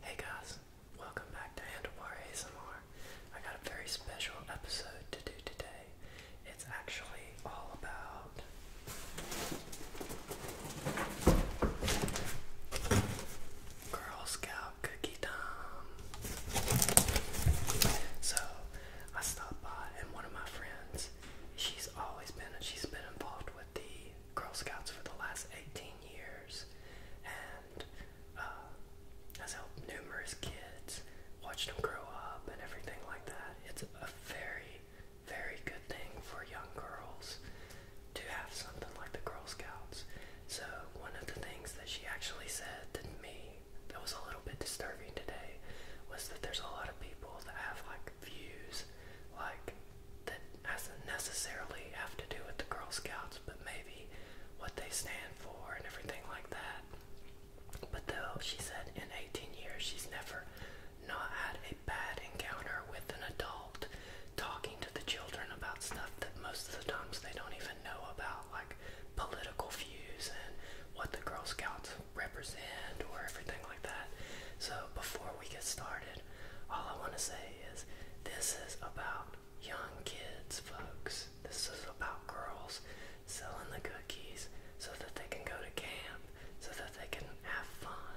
Hey guys, welcome back to Handlebar ASMR. I got a very special episode to do today. It's actually all about. Girl Scout Cookie Time. So I stopped by, and one of my friends because she's always been she's been involved with the Girl Scouts for the last 18 years and uh, has helped numerous kids watch them grow up and everything like that. It's a very, very good thing for young girls to have something like the Girl Scouts. So one of the things that she actually said to me that was a little bit disturbing today was that there's a lot of people that have like like views, like that hasn't necessarily have to do with the Girl Scouts, but maybe what they stand for and everything like that. But though she said in 18 years she's never not had a bad encounter with an adult talking to the children about stuff that most of the times they don't even know about, like political views and what the Girl Scouts represent or everything like that. So before we get started, all I want to say is this is about young kids, folks. This is about girls selling the cookies so that they can go to camp, so that they can have fun.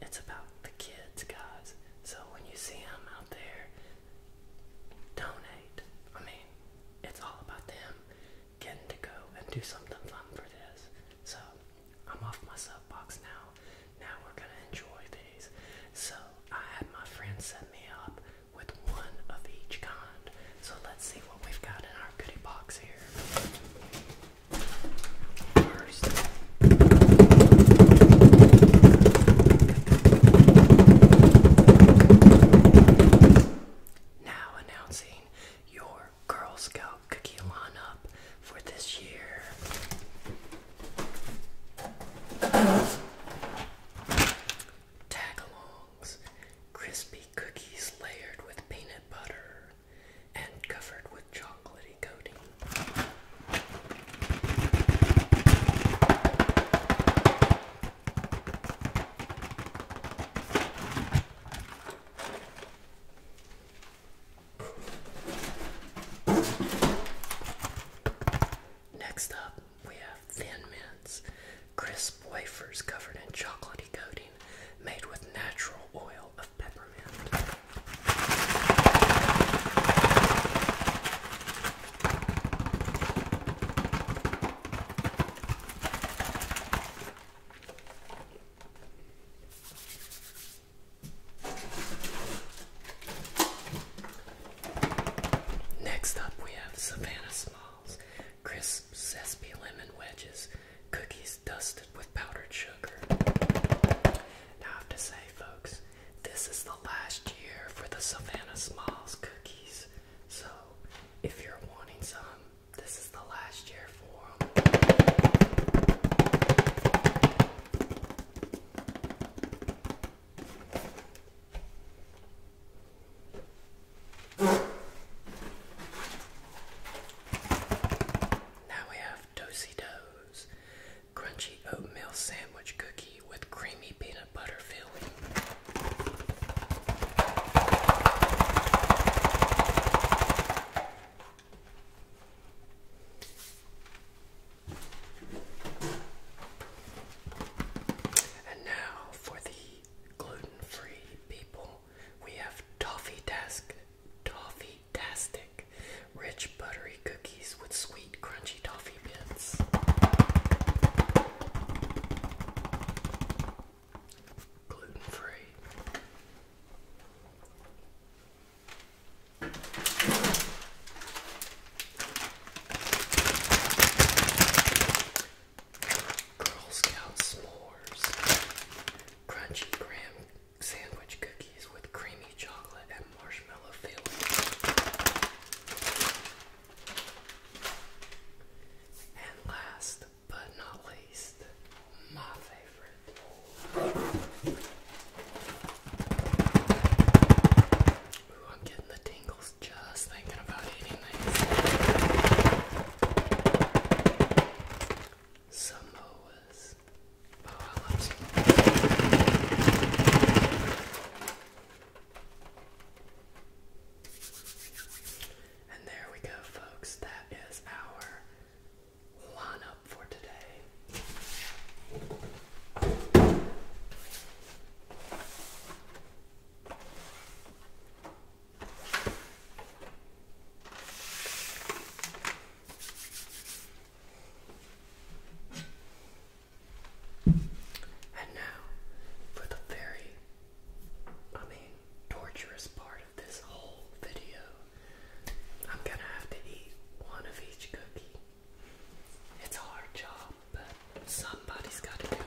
It's about the kids, guys. So when you see them out there, donate. I mean, it's all about them getting to go and do something fun for this. So I'm off my sub box now. Now we're gonna enjoy these. So I had my friend set me up with one of each kind. So let's see what we've got in our goodie box here. First, now announcing your Girl Scout cookie line up for this year. Tagalongs, crispy cookies layered with peanut butter and covered with chocolatey coating. Next up, we have Thin Mints, crisp wafers covered in chocolatey coating made with natural oil of peppermint. Next up, we have Savannah Smalls crisp sesame lemon wedges, cookies dusted with powdered sugar. Now, I have to say, folks, this is the last year for the Savannah Smalls cookies, so if you're wanting some, this is the last year for Now we have Dosey Does Crunchy Oatmeal Sandwich Cookie with Creamy Peanut Butter Filling. And now for the gluten-free people, we have toffee task toffee tastic rich buttery cookies with sweet crunchy toffee bits gluten free. Girl Scout s'mores, crunchy graham sandwich cookies with creamy chocolate and marshmallow filling. And last, but not least, my favorite. Ooh, I'm getting the tingles just thinking about eating these. Samoas. Oh, and there we go, folks. That is our line up for today. And now for the very, I mean, torturous part this whole video, I'm gonna have to eat one of each cookie. It's a hard job, but somebody's gotta do it.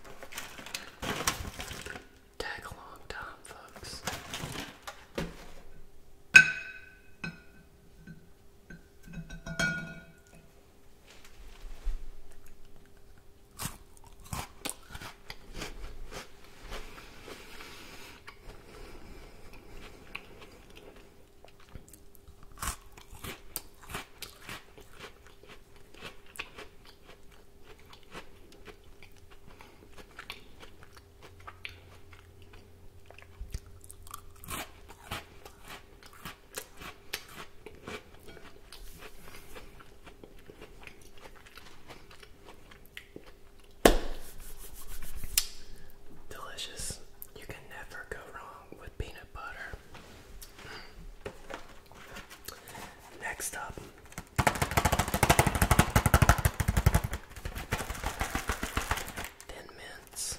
Take a long time, folks. Delicious. You can never go wrong with peanut butter. Next up, Thin Mints.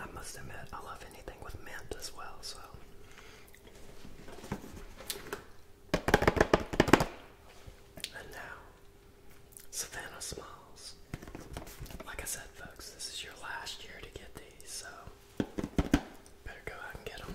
I must admit, I love anything with mint as well, so. And now, Savannah smiles. Like I said, folks, this is your last year to get these, so Better go out and get them.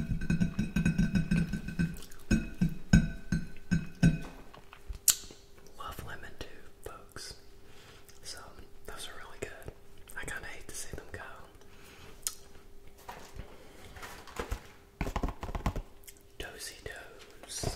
Love lemon too, folks. So those are really good. I kind of hate to see them go. Dozy Doze.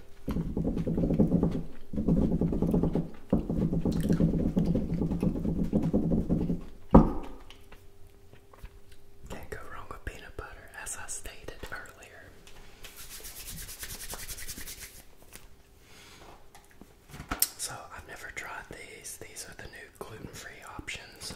Can't go wrong with peanut butter, as I stated earlier. So, I've never tried these. These are the new gluten free option, so.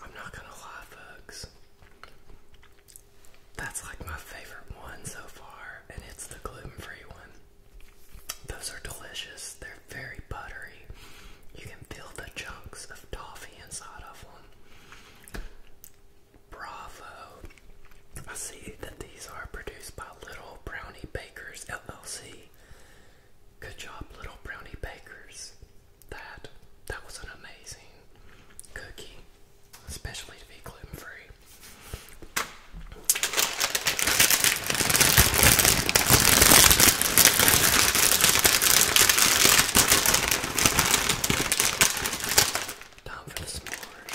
I'm not gonna lie, folks. That's like my favorite one so far, and it's the gluten free one. Those are delicious. They're very buttery. You can feel the chunks of toffee inside of one. Bravo. I see that these are produced by Little Brownie Bakers LLC. Good job, Little Brownie Bakers. That that was an amazing cookie, especially to be gluten free. Time for the s'mores.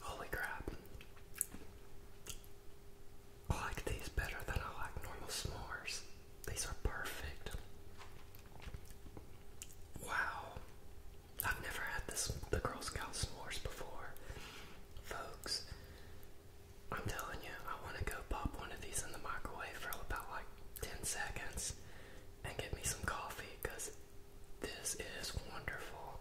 Holy crap. I like these better than I like normal s'mores. These are perfect. Wow. I've never had this the Girl Scout s'mores before. Folks, I'm telling you, I want to go pop one of these in the microwave for about like 10 seconds and get me some coffee this is wonderful.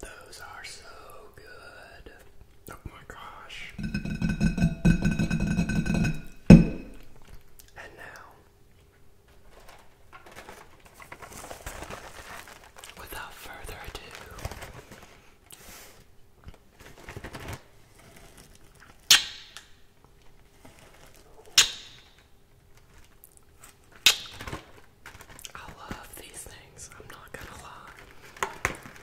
Those are so good. Oh my gosh. And now, without further ado, I love these things, I'm not gonna lie.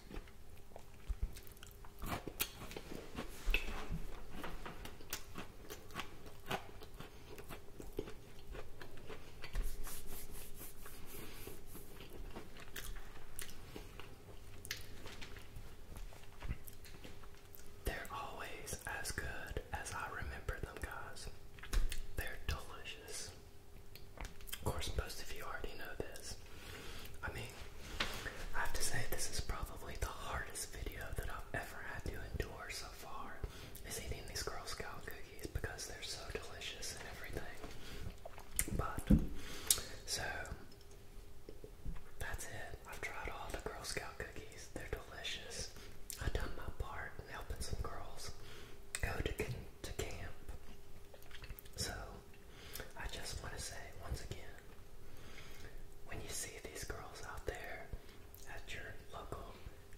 They're always as good as I remember them, guys. They're delicious. Of course, most of you already know this. I mean, I have to say, this is probably the hardest video that I've ever had to endure so far. Is eating these Girl Scout cookies because they're so delicious and everything. But, so, that's it. I've tried all the Girl Scout cookies, they're delicious. I've done my part in helping some girls go to, to camp. So, I just want to say once again when you see these girls out there at your local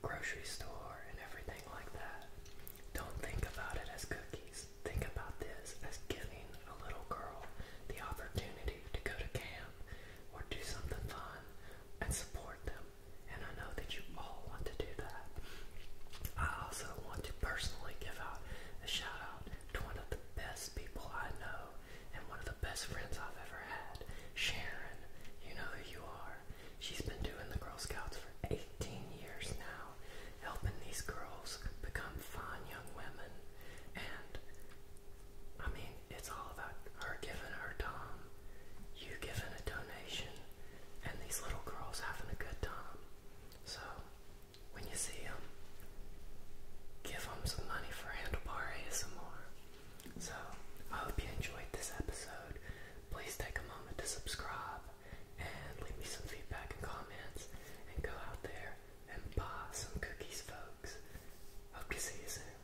grocery store and everything like that, don't think about it as cookies. Think about this as giving a little girl the opportunity to go to camp or do something fun and support them. And I know that you all want to do that. I also want to personally give out a shout out out to one of the best people I know and one of the best friends I've ever had, Sharon. You know who you are. She's been doing the Girl Scouts for 18 years now, helping these girls become fine young women. And I mean, it's all about her giving her time, you giving a donation, and these little girls having a good time. So, when you see him, give him some money for Handlebar more. So, I hope you enjoyed this episode. Please take a moment to subscribe and leave me some feedback and comments. And go out there and buy some cookies, folks. Hope to see you soon.